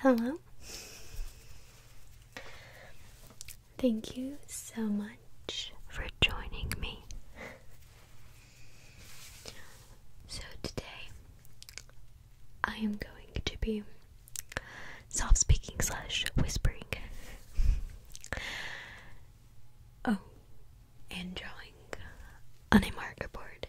Hello. Thank you so much for joining me. So, today I am going to be soft speaking slash whispering. Oh, and drawing on a marker board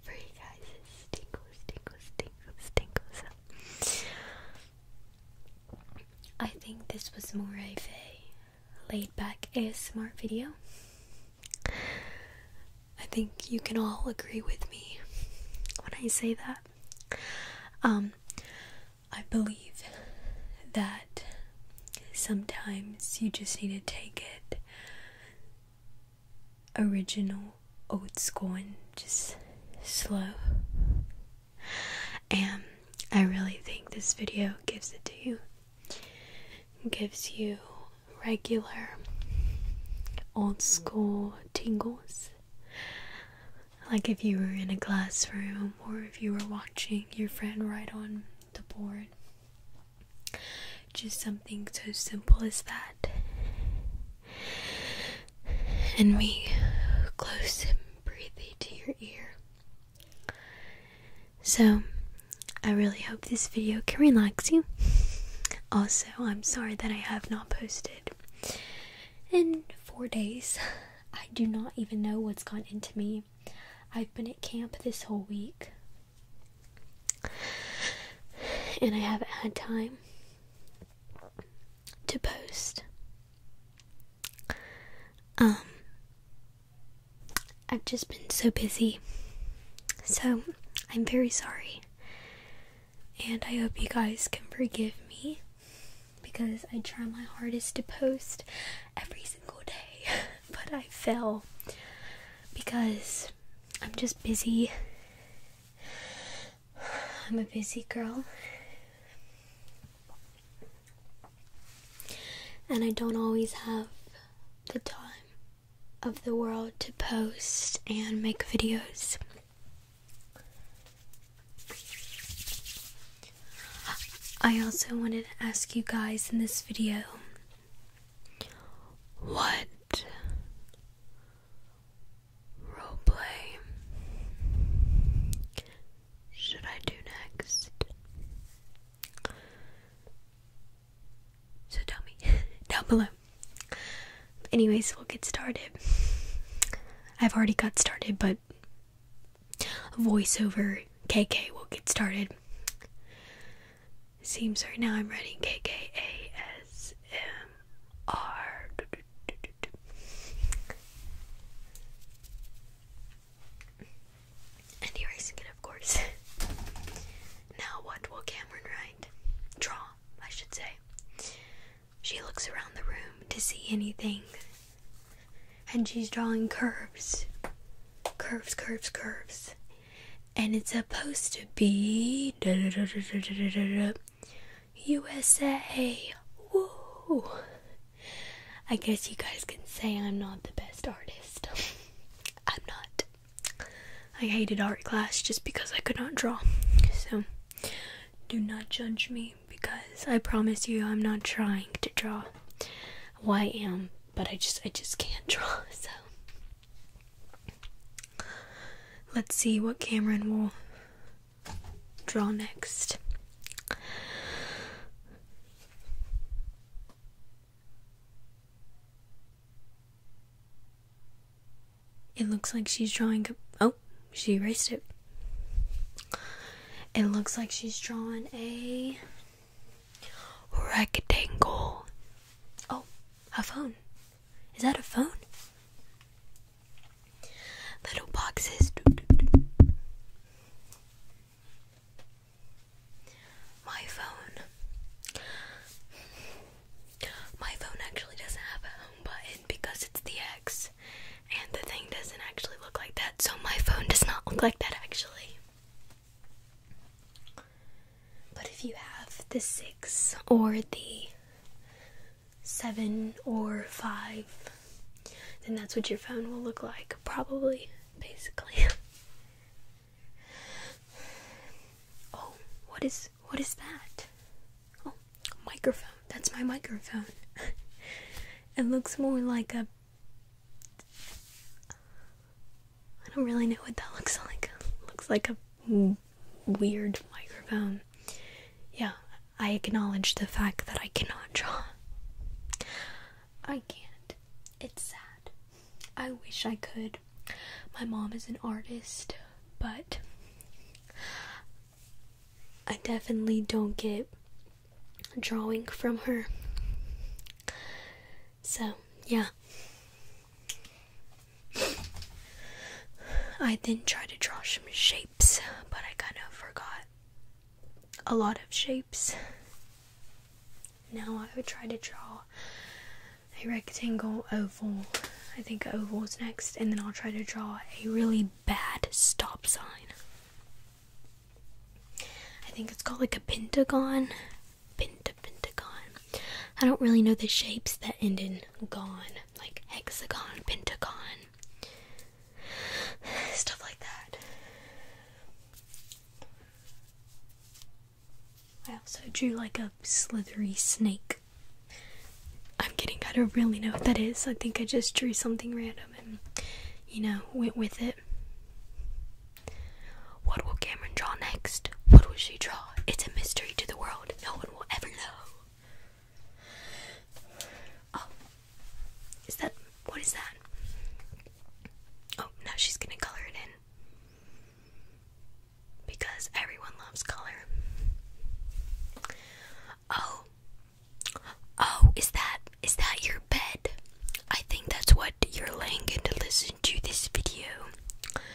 for you guys. It's tingles, tingles, tingles, I think this was more of a laid back a smart video. I think you can all agree with me when I say that. Um, I believe that sometimes you just need to take it original old school and just slow. And I really think this video gives it to you. Gives you regular old school tingles. Like if you were in a classroom or if you were watching your friend write on the board just something so simple as that. And me close and breathe to your ear. So, I really hope this video can relax you. Also, I'm sorry that I have not posted in four days. I do not even know what's gone into me. I've been at camp this whole week and I haven't had time to post. Um, I've just been so busy, so I'm very sorry, and I hope you guys can forgive me because I try my hardest to post every single day, but I fail because I'm just busy. I'm a busy girl. And I don't always have the time of the world to post and make videos. I also wanted to ask you guys in this video what roleplay should I do next? So tell me down below. Anyways, we'll get started. I've already got started, but voiceover KK will get started seems right now I'm writing KKASMR. And erasing it, of course. now, what will Cameron write? Draw, I should say. She looks around the room to see anything. And she's drawing curves. Curves, curves, curves and it's supposed to be USA. Woo! I guess you guys can say I'm not the best artist. I'm not. I hated art class just because I could not draw. So do not judge me because I promise you I'm not trying to draw. I am, but I just I just can't draw. So Let's see what Cameron will draw next. It looks like she's drawing a. Oh, she erased it. It looks like she's drawing a Rectangle. Oh, a phone. Is that a phone? Little boxes. My phone. My phone actually doesn't have a home button because it's the X. And the thing doesn't actually look like that, so my phone does not look like that actually. But if you have the six or the seven or five, then that's what your phone will look like, probably, basically. oh, what is what is that? Oh, microphone. That's my microphone. it looks more like a I don't really know what that looks like. looks like a weird microphone. Yeah, I acknowledge the fact that I cannot draw. I can't. It's sad. I wish I could. My mom is an artist, but I definitely don't get drawing from her. So, yeah. I then tried to draw some shapes, but I kind of forgot a lot of shapes. Now I would try to draw a rectangle oval. I think oval is next, and then I'll try to draw a really bad stop sign. I think it's called like a pentagon penta pentagon. I don't really know the shapes that end in gon, like hexagon, pentagon, stuff like that. I also drew like a slithery snake. I'm getting I don't really know what that is. I think I just drew something random and, you know, went with it. What will Cameron draw next? What will she draw? It's a mystery to the world. No one will ever know. Oh. Is that. What is that? Oh, now she's gonna color it in. Because everyone loves color. Oh. Oh, is that is that your bed? I think that's what you're laying in to listen to this video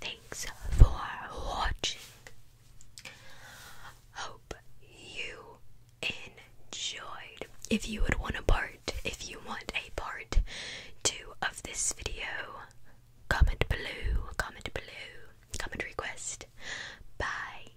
Thanks for watching. Hope you enjoyed. If you would want a part, if you want a part two of this video, comment below, comment below, comment request. Bye.